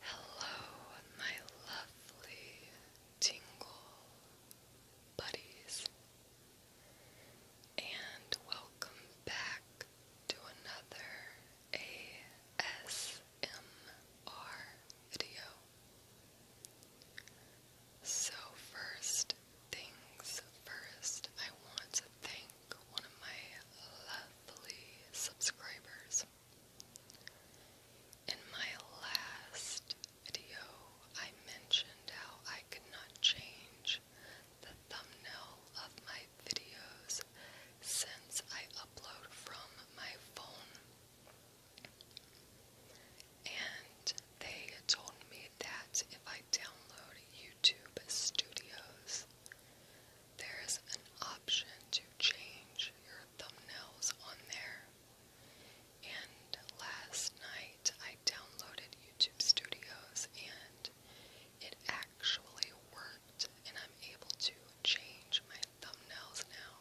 Hello, my lovely tingle buddies, and welcome back to another ASMR video. So, first things first, I want to thank one of my lovely subscribers. In my last video, I mentioned how I could not change the thumbnail of my videos since I upload from my phone. And they told me that if I download YouTube Studios, there's an option to change your thumbnails on there. And last night I downloaded YouTube Studios and it actually worked and I'm able to change my thumbnails now.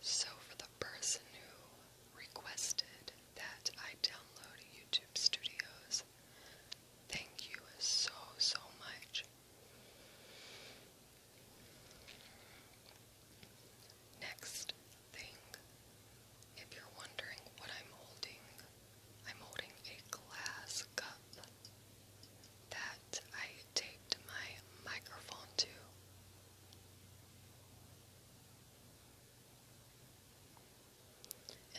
So for the person who requested that I download YouTube Studios, thank you so so much. Next thing, if you're wondering what I'm holding, I'm holding a glass cup that I taped my microphone to.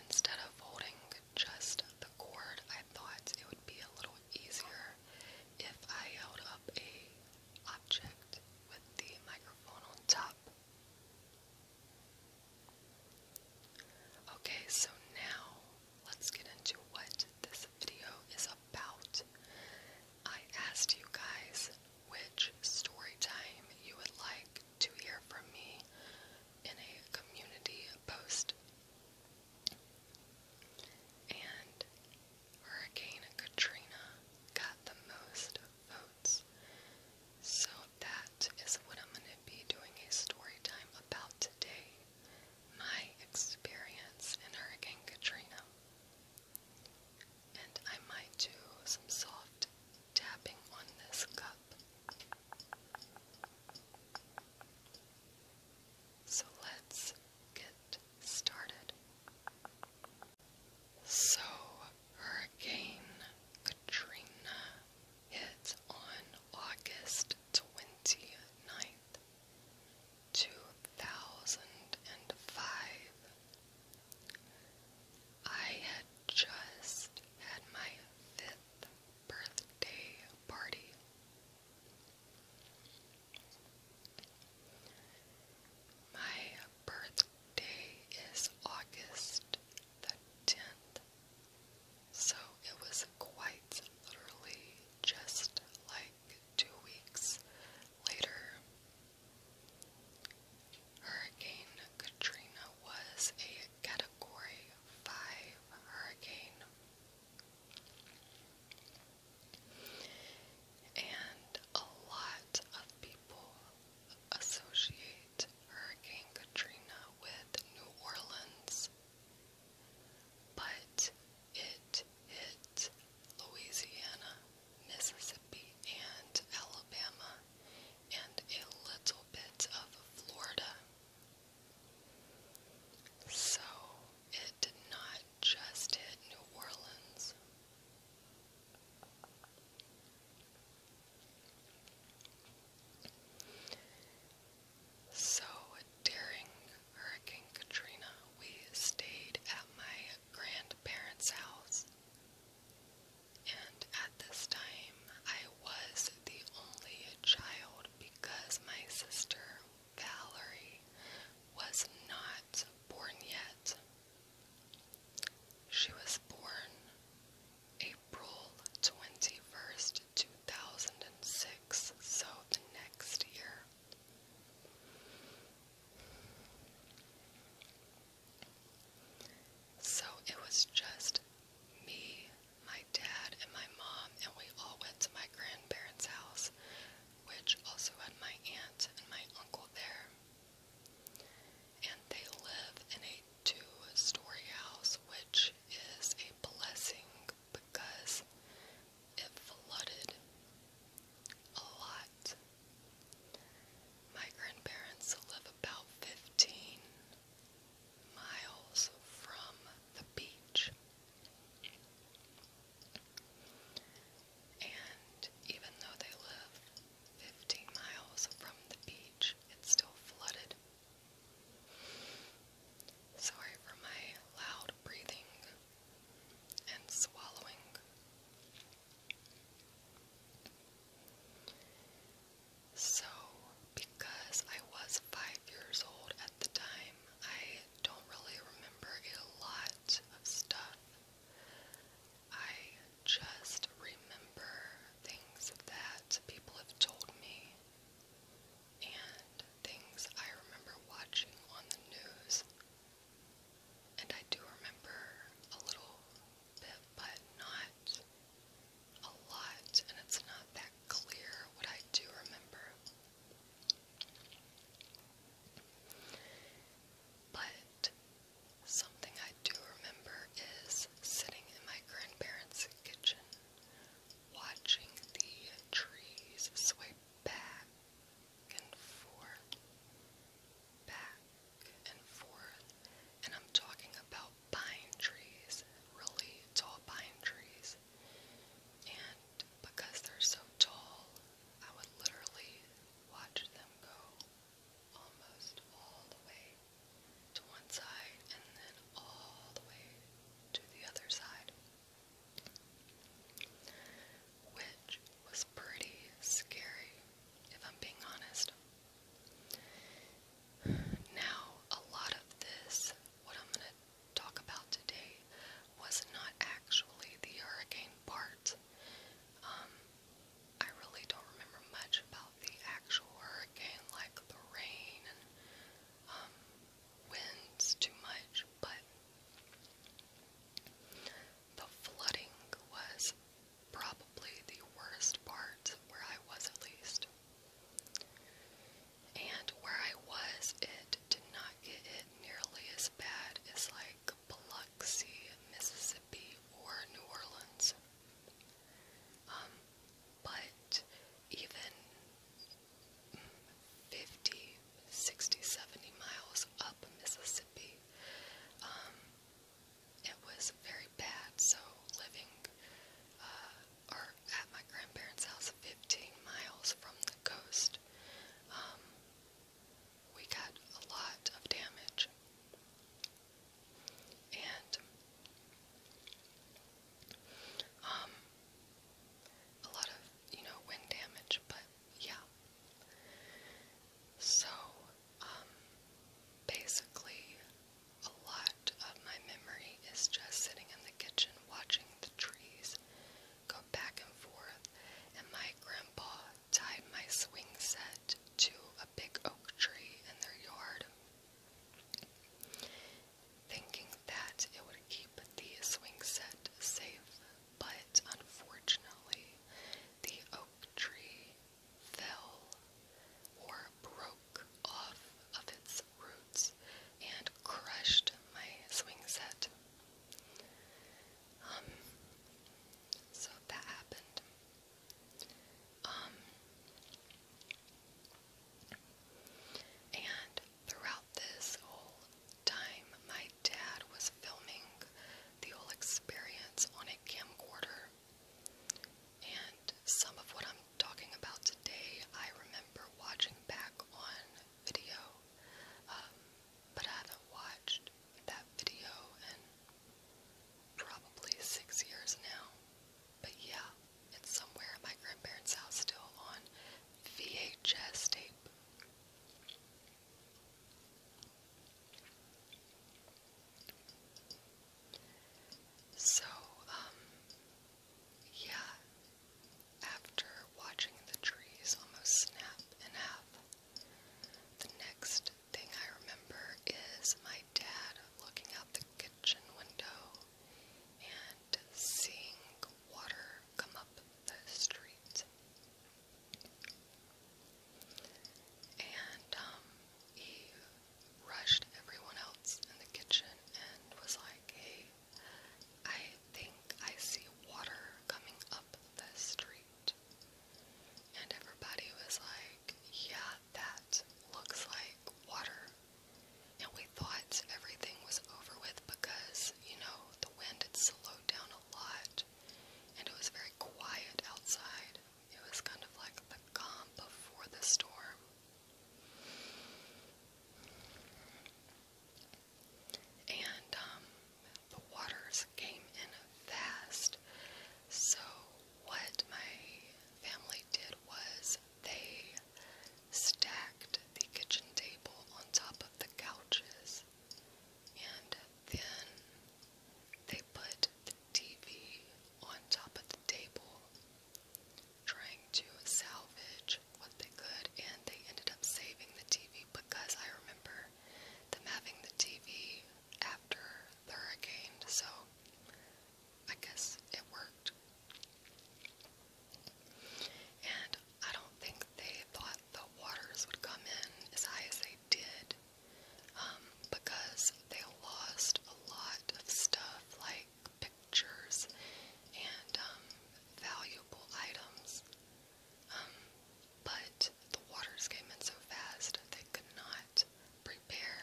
Instead of holding just the cord. I thought it would be a little easier if I held up a object with the microphone on top. Okay, so now let's get into what this video is about. I asked you guys which story time you would like to hear from me in a community post. And Hurricane Katrina got the most votes. So that is what I'm going to be doing a story time about today. My experience in Hurricane Katrina. And I might do some soft tapping on this cup. So let's get started. So, Hurricane Katrina hit on August 29th, 2005. I had just had my fifth birthday party. My birthday is August the 10th, so it was quite literally just like two weeks later. Hurricane Katrina was a category hurricane. And a lot of people associate Hurricane Katrina with New Orleans, but it hit Louisiana, Mississippi, and Alabama, and a little bit of Florida. So it did not just hit New Orleans. So during Hurricane Katrina, we stayed at my grandparents' house. And at this time, I I was the only child because my sister Valerie was not born yet. She was born April 21st, 2006, so the next year. So it was just me, my dad and my mom, and we all went to my grandparents' house, which also had my aunt and my uncle there. And they live in a two story house, which is a blessing because it flooded a lot. My grandparents live about 15 miles from the beach. And even though they live 15 miles from the beach, it's still flooded. Sorry for my loud breathing and swallowing. So, because I was five years old at the time, I don't really remember a lot of stuff. I just remember things that people have told me and things I remember watching on the news. And I do remember a little bit, but not a lot, and it's not that clear what I do remember. But something I do remember is sitting in my grandparents' kitchen, watching the trees sway back and forth, back and forth, and I'm talking about pine trees, really tall pine trees. And because they're so tall, I would literally watch them go almost all the way to one side and then all the way to the other side. Which was pretty scary, if I'm being honest. Now, a lot of this, what I'm going to talk about today, was not actually the hurricane part. Um, I really don't remember much about the actual hurricane, like the rain and um, winds too much, but the flooding was probably the worst part where I was at least. And where I was, it did not get hit nearly as bad as like Biloxi, Mississippi, or New Orleans. Um, but even 50, 60, 70 miles up Mississippi, um, it was very bad, so living uh, or at my grandparents' house, 15 miles from the coast, um, we got a lot of damage. And um, a lot of, you know, wind damage, but yeah. So, um, basically, a lot of my memory is just sitting in the kitchen watching the trees go back and forth. And my grandpa tied my swing set to a big oak tree in their yard, thinking that it would keep the swing set safe. But unfortunately, the oak tree fell or broke off of its roots and crushed my swing set. Um, so that happened. Um, and throughout this whole time, my dad was filming the whole experience on a camcorder and some of what I'm talking about today, I remember watching back on video, um, but I haven't watched that video in probably six years now. But yeah, it's somewhere in my grandparents' house still on VHS tape. So, um, yeah, after watching the trees almost snap in half, the next thing I remember is my dad looking out the kitchen window and seeing water come up the street. And um, he rushed everyone else in the kitchen and was like, hey, I think I see water coming up the street. And everybody was like, yeah, that looks like water. And we thought everything was over with because, you know, the wind had slowed down a lot and it was very quiet outside. It was kind of like the calm before the storm. And um, the waters came in fast. So, what my family did was they stacked the kitchen table on top of the couches and then they put the TV on top of the table, trying to salvage what they could, and they ended up saving the TV because I remember them having the TV after the hurricane, so I guess it worked. And I don't think they thought the waters would come in as high as they did um, because they lost a lot of stuff like pictures and um, valuable items. Um, but the waters came in so fast they could not prepare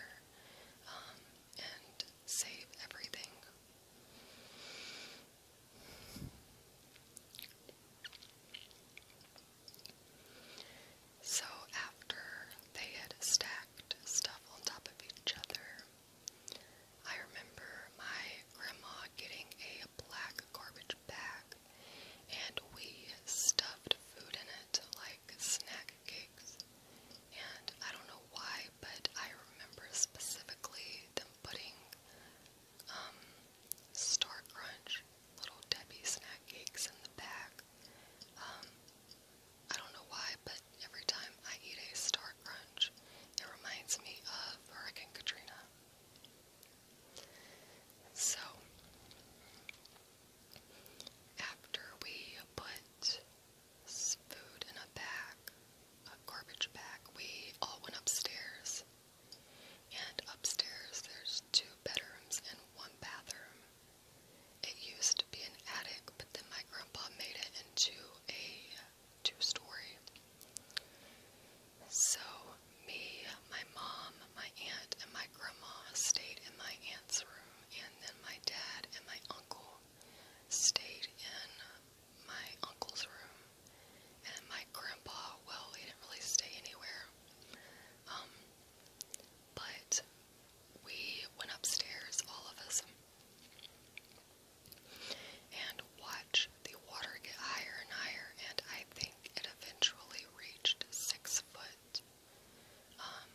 um, and save everything. So, after they had stacked stuff on top of each other, I remember my grandma getting a black garbage bag and we stuffed food in it like snack cakes. And I don't know why, but I remember specifically them putting um, Star Crunch little Debbie snack cakes in the back. Um, I don't know why, but every time I eat a Star Crunch, it reminds me of Hurricane Katrina. So, after we put food in a bag, a garbage bag, we all went upstairs. And upstairs, there's has two bedrooms and one bathroom. It used to be an attic, but then my grandpa made it into a two-story. So me, my mom, my aunt, and my grandma stayed in my aunt's room, and then my dad and my uncle stayed in my uncle's room. And my grandpa, well, he didn't really stay anywhere. Um, but we went upstairs, all of us, and watched the water get higher and higher, and I think it eventually reached six foot. Um,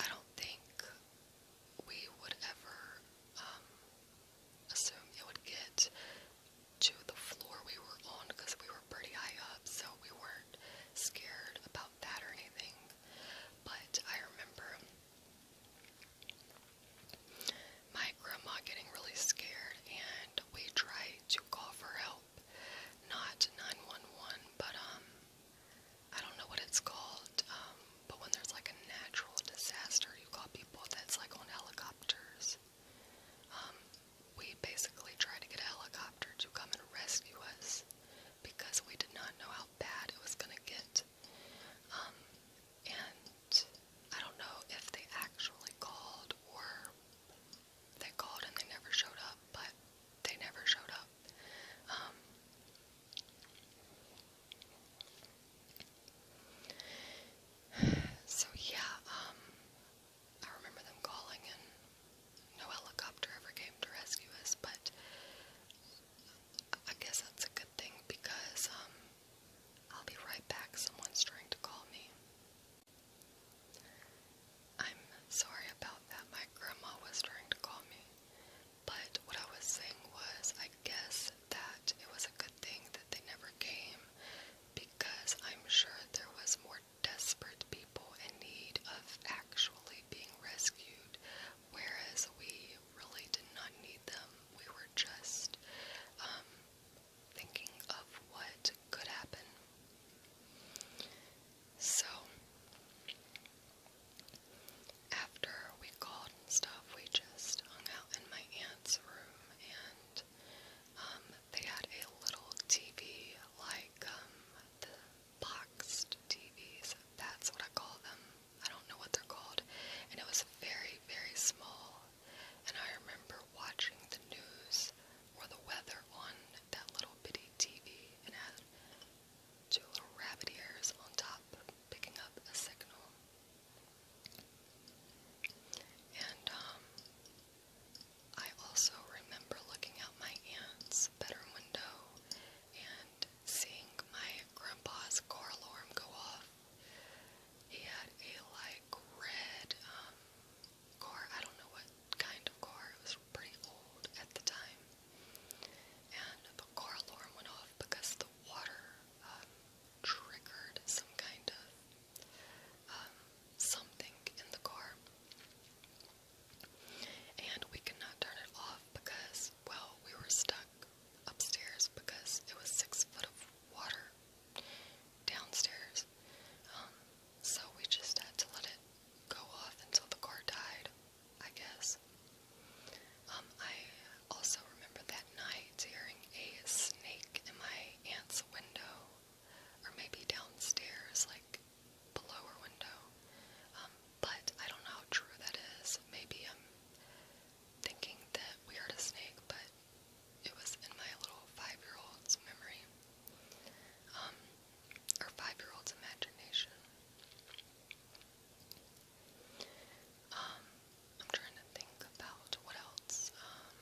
I don't think we would ever um, assume it would get to the floor we were on because we were pretty high up, so we weren't scared about that or anything. But I remember my grandma getting really scared, and we tried to call for help. Not 911, but, um, I don't know what it's called, um, but when there's like a natural disaster, you call people that's like on helicopters. Um, we basically tried to get a helicopter to come and rescue us because we did not know how bad it was going to get. Um, and I don't know if they actually called or they called and they never showed up, but they never showed up. Um, so yeah, I remember them calling, and no helicopter ever came to rescue us, but I guess that's a good thing because, um, I'll be right back. Someone's trying to call me. I'm sorry about that. My grandma was trying to call me. But what I was saying was, I guess that it was a good thing that they never came because I'm sure there was more desperate people in need of actually being rescued, whereas we really did not need them. We were just um, thinking of what could happen. So, after we called and stuff, we just hung out in my aunt's room and um, they had a little TV, like um, the boxed TVs. That's what I call them. I don't know what they're called. And it was very, very small. And I remember watching the news or the weather on that little bitty TV. And it had two little rabbit ears on top, picking up a signal. And um, I also remember looking out my aunt's bedroom window and seeing my grandpa's car alarm go off. He had a like red um, I don't know what kind of car, it was pretty old at the time. And the car went off because the water um, triggered some kind of um, something in the car. And we could not turn it off because, well, we were stuck upstairs because it was six foot of water downstairs. Um, so we just had to let it go off until the car died, I guess. Um, I also remember that night hearing a snake in my aunt's window or maybe downstairs, like below her window. Um, but I don't know how true that is. Maybe I'm thinking that we heard a snake, but it was in my little five-year-old's memory, um, or five-year-old's imagination. Um, I'm trying to think about what else. Um,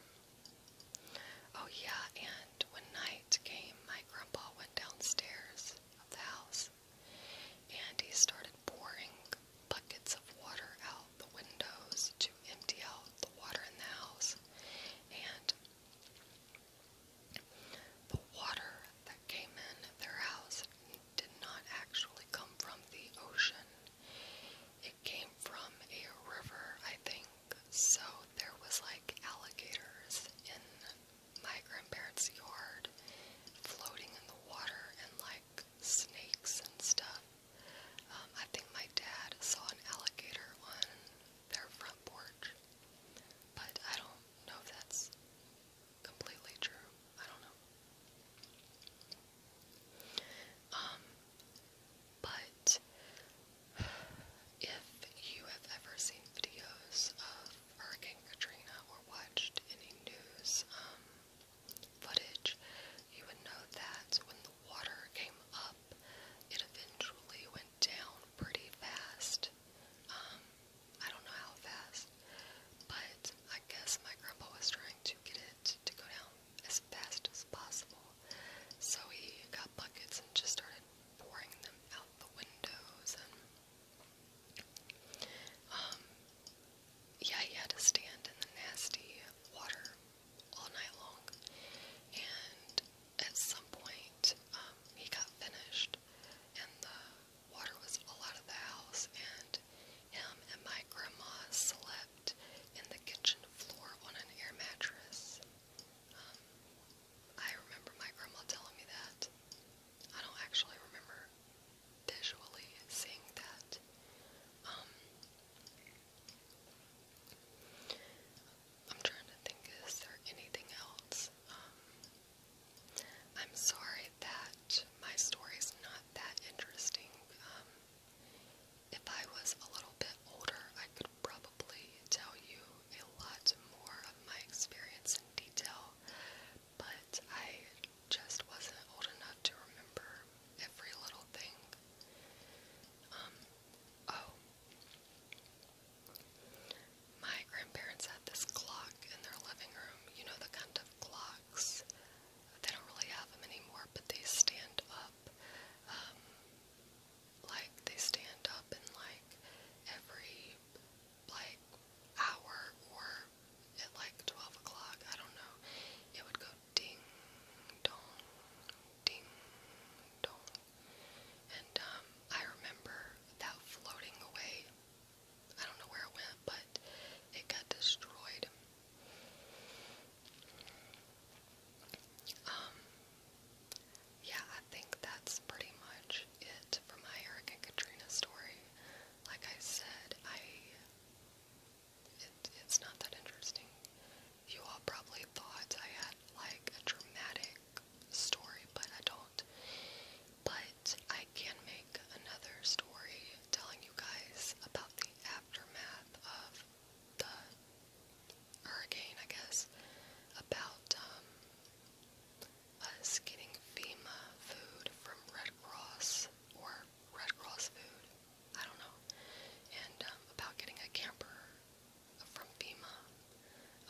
oh, yeah, and when night came, my grandpa went downstairs of the house and he started pouring buckets of water out the windows to empty out the water in the house. And the water that came in their house did not actually come from the ocean came from a river, I think, so there was like alligators in my grandparents' yard floating in the water and like snakes and stuff. Um, I think my dad saw an alligator on their front porch, but I don't know if that's completely true. I don't know. Um, but if you have ever seen videos of Hurricane Katrina or watched any news um, footage, you would know that when the water came up, it eventually went down pretty fast. Um, I don't know how fast, but I guess my grandpa was trying to get it to go down as fast as possible. So he got buckets and just started pouring them out the windows and um, yeah, he had to stand in the nasty water all night long. And at some point, um, he got finished, and the water was all out of the house, and him and my grandma slept in the kitchen floor on an air mattress. Um, I remember my grandma telling me that. I don't actually remember visually seeing that. Um, I'm trying to think, is there anything else? Um, I'm sorry that my story's not that interesting. If I was a little bit older, I could probably tell you a lot more of my experience in detail, but I just wasn't old enough to remember every little thing. Um, oh. My grandparents had this clock in their living room, you know, the kind of clocks they don't really have them anymore, but they stand up. Um, like they stand up in like every like hour or at like twelve o'clock. I don't know. It would go ding dong, ding dong, and um, I remember that floating away. I don't know where it went, but it got destroyed. Um, yeah, I think that's pretty much it for my Eric and Katrina story. Like I said, I it's not that interesting. You all probably thought I had like a dramatic story, but I don't. But I can make another story telling you guys about the aftermath of the hurricane, I guess, about um, us getting FEMA food from Red Cross or Red Cross food, I don't know, and um, about getting a camper from FEMA.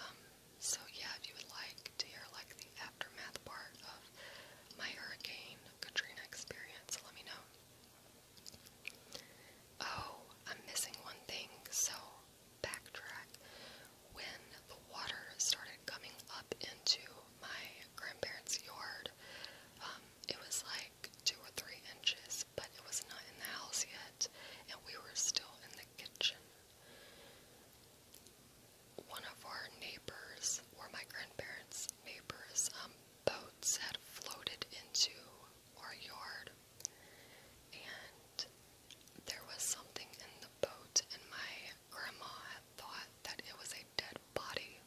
Um, so yeah, if you would like to hear like the aftermath part of my Hurricane Katrina experience, let me know. Oh, I'm missing one thing, so backtrack. When the water started coming up into my grandparents' yard, um, it was like two or three inches, but it was not in the house yet, and we were still in the kitchen. One of our neighbors, or my grandparents' neighbors, um, boats had floated into our yard, and there was something in the boat, and my grandma had thought that it was a dead body.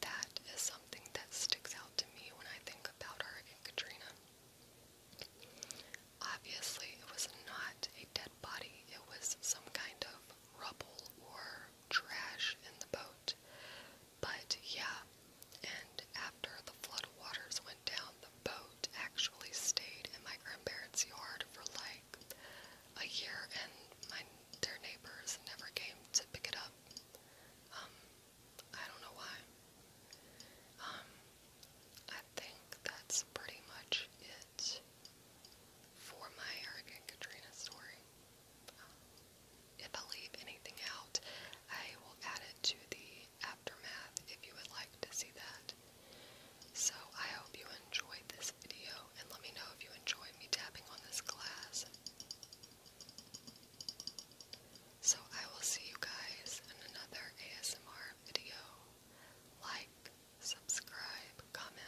That is something that sticks out to me when I think about Hurricane Katrina. Obviously, it was not a dead body, it was some kind of rubble or trash in the boat. But yeah, and after the flood waters went down, the boat actually stayed in my grandparents' yard for like a year, and my their neighbors never came to pick it up. Um, I don't know why. Um, I think that's pretty much it for my Hurricane Katrina story. Um, if I leave anything out, I will add it to the aftermath if you would like to see that. So I hope you enjoyed this video and let me know if you enjoyed me tapping on this glass. So I will see you guys in another ASMR video. Like, subscribe, comment,